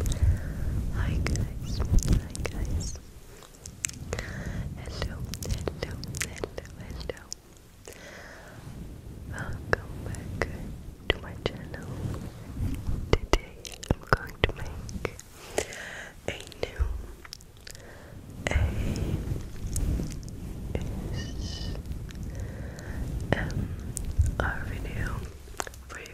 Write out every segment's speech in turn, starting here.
Hi guys, hi guys. Hello, hello, hello, hello. Welcome back to my channel. Today I'm going to make a new A S M um, R video for you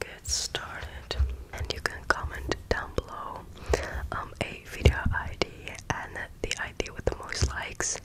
get started. And you can comment down below um, a video ID and the ID with the most likes.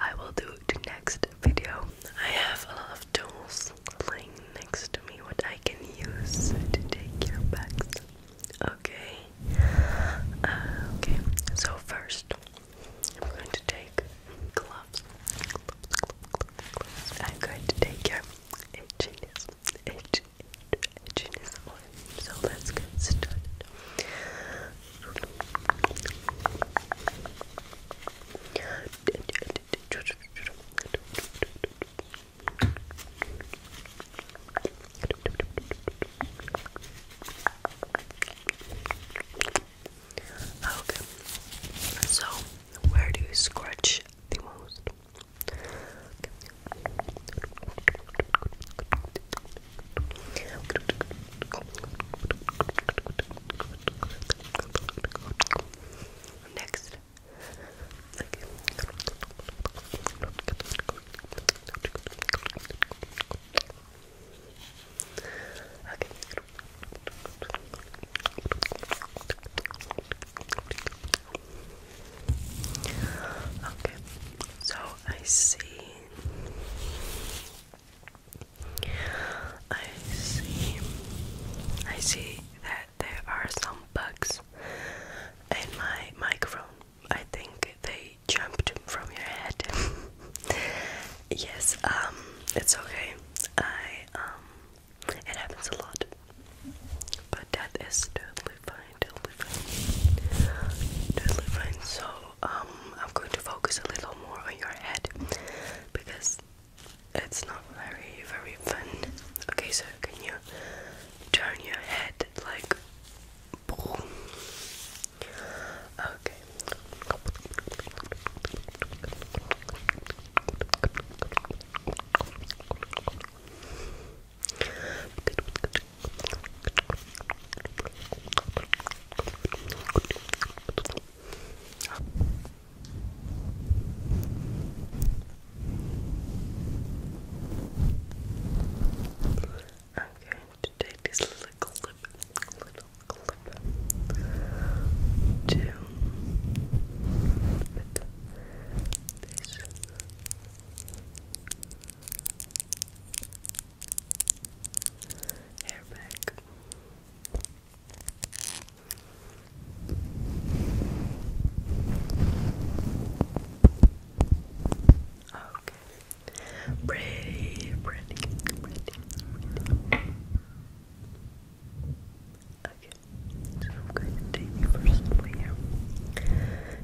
I will do the next video. I have a lot of tools laying next to me what I can use to take your of bags. Okay. Uh, okay. So first, I'm going to take gloves. gloves, I'm going to take your itchiness, itch, itch, itchiness So let's get started. Okay, so where do you scratch the most? Next. Okay, so I see. I see. I see that there are some bugs in my microphone. I think they jumped from your head. yes, um, it's okay. I um it happens a lot. But that is totally fine, totally fine. Totally fine. So, um, I'm going to focus a little more on your head because it's not very, very fun. Okay, so can you turn your head like boom? Okay. I'm going to take this little clip little clip to this. Hair back. Okay. Pretty, pretty, pretty, pretty. Okay, so I'm going to take the first one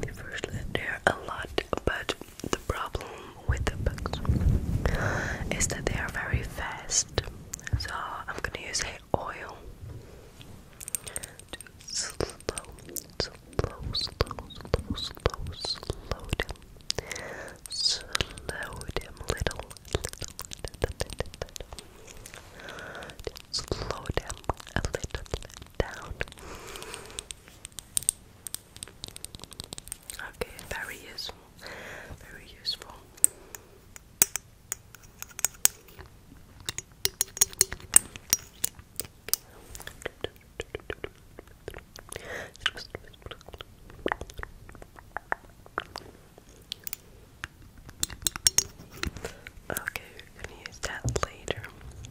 The first there a lot, but the problem with the books is that they are very fast. So I'm gonna use oil to slow, slow, slow, slow, slow, slow down. Slow him little, little, little, little, a little down. Okay, very useful, very useful. Okay, we're gonna use that later. Okay,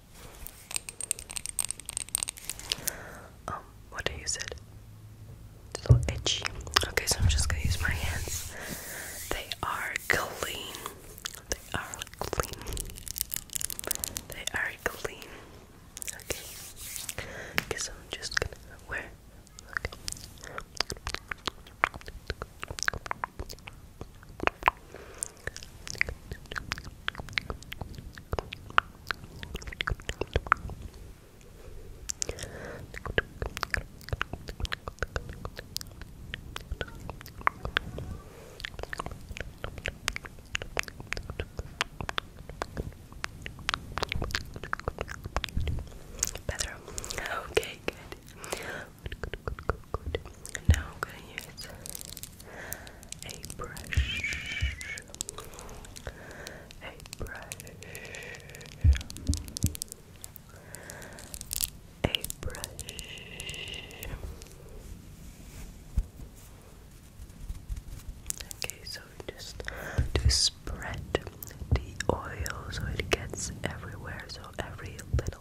Um, what do you said? It's a little Okay, so I'm just gonna use my hands. They are clean. They are clean. They are clean. Okay. Guess I'm just gonna wear. Okay. Better. Okay, good. Now I'm gonna use a brush, a brush, a brush. Okay, so just to spread the oil so it gets everywhere, so every little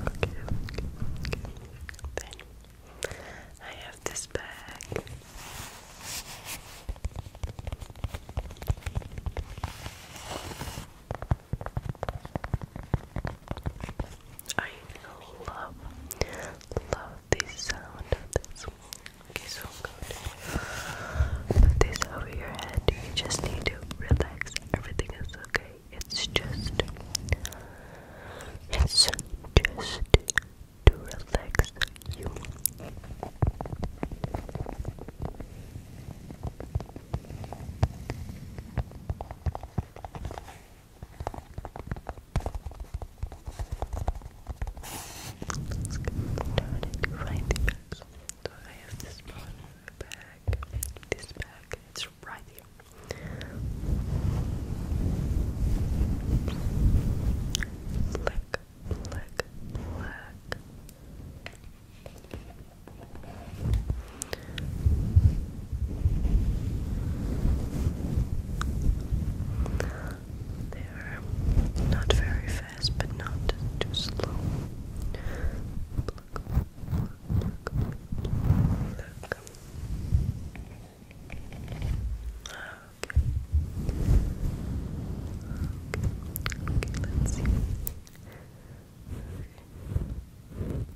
Okay, okay, okay. Then I have this bag. I love, love the sound of this. Okay, so good. Put this over your head. You just need to relax. Everything is okay. It's just, it's just to relax you. Let's get started right here. So I have this bag, this bag, it's right here. Black, black, black. They're not very fast, but not too slow.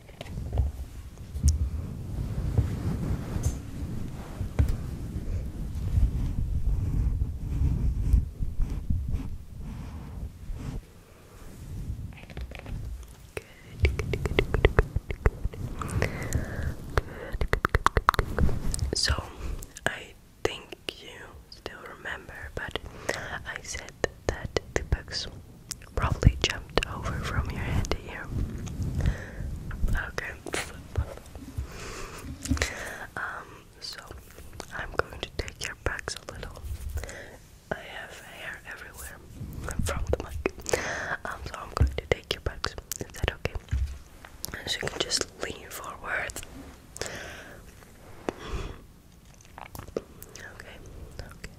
good. So I think you still remember, but I said that the bugs probably jumped over from your head to here. Okay. Um, so I'm going to take your backs a little. I have hair everywhere from the mic. Um, so I'm going to take your backs. Is that okay? So you can just lean forward. Okay, okay.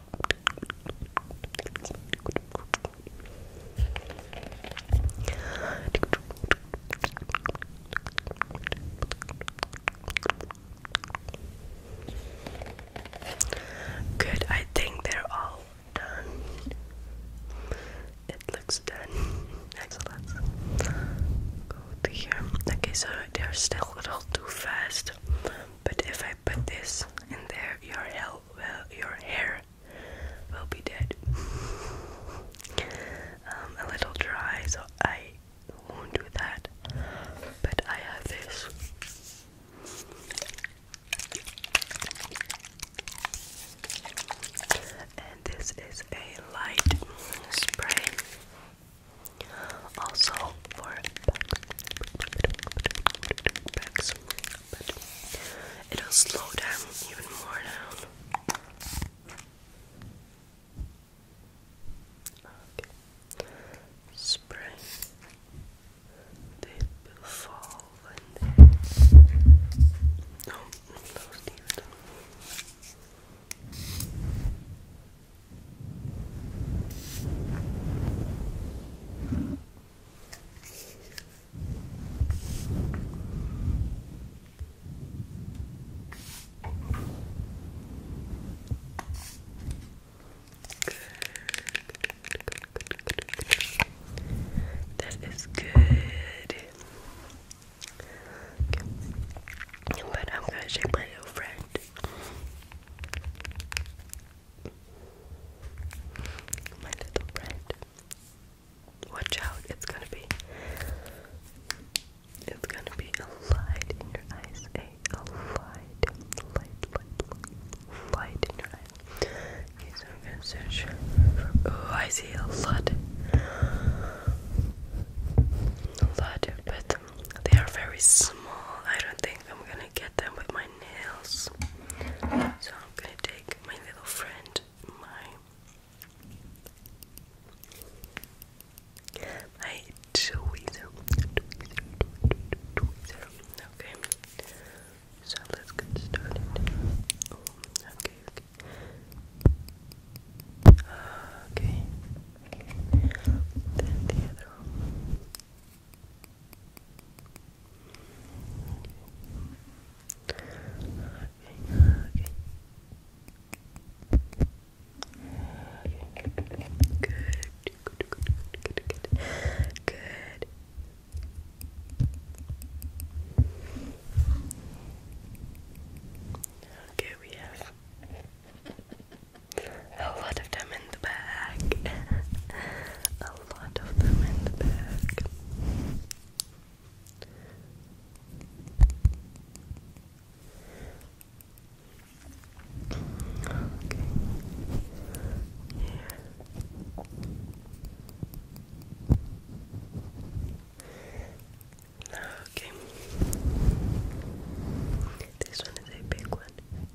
Good, I think they're all done. It looks done. Excellent. Go to here. Okay, so they're still a little too fast. But if I put this in there, your hair well, your hair will be dead. a little dry, so I won't do that. But I have this. And this is a light spray. Also for back, but it'll slow down even more now. Okay. They will fall when they. No, no, Steven. Okay. That is good. But I'm gonna check my little friend. My little friend. Watch out, it's gonna be it's gonna be a light in your eyes, A light, light, light, light in your eyes. oh I see a lot a lot, but they are very small. I don't think I'm gonna get them with my nails. So I'm gonna take my little friend, my my Okay. So let's get started. Oh, okay, okay. Okay good, good, good, good, good. Okay, we have a lot of them in the back. A lot of them in the bag. Okay. Here. Okay. This one is a big one.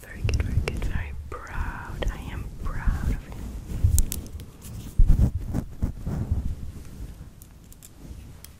Very good, very good, very proud. I am proud of you.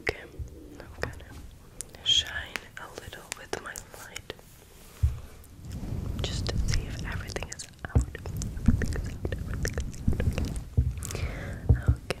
Okay, I'm gonna shine a little with my light just to see if everything is out. Okay.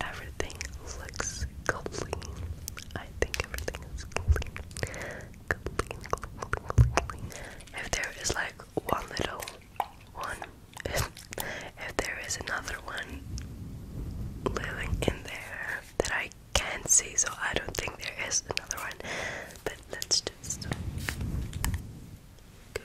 everything looks clean. I think everything is clean. If there is like one little one, if, there is another one living in there that I can't see, so I don't think there is another one. But let just. Good.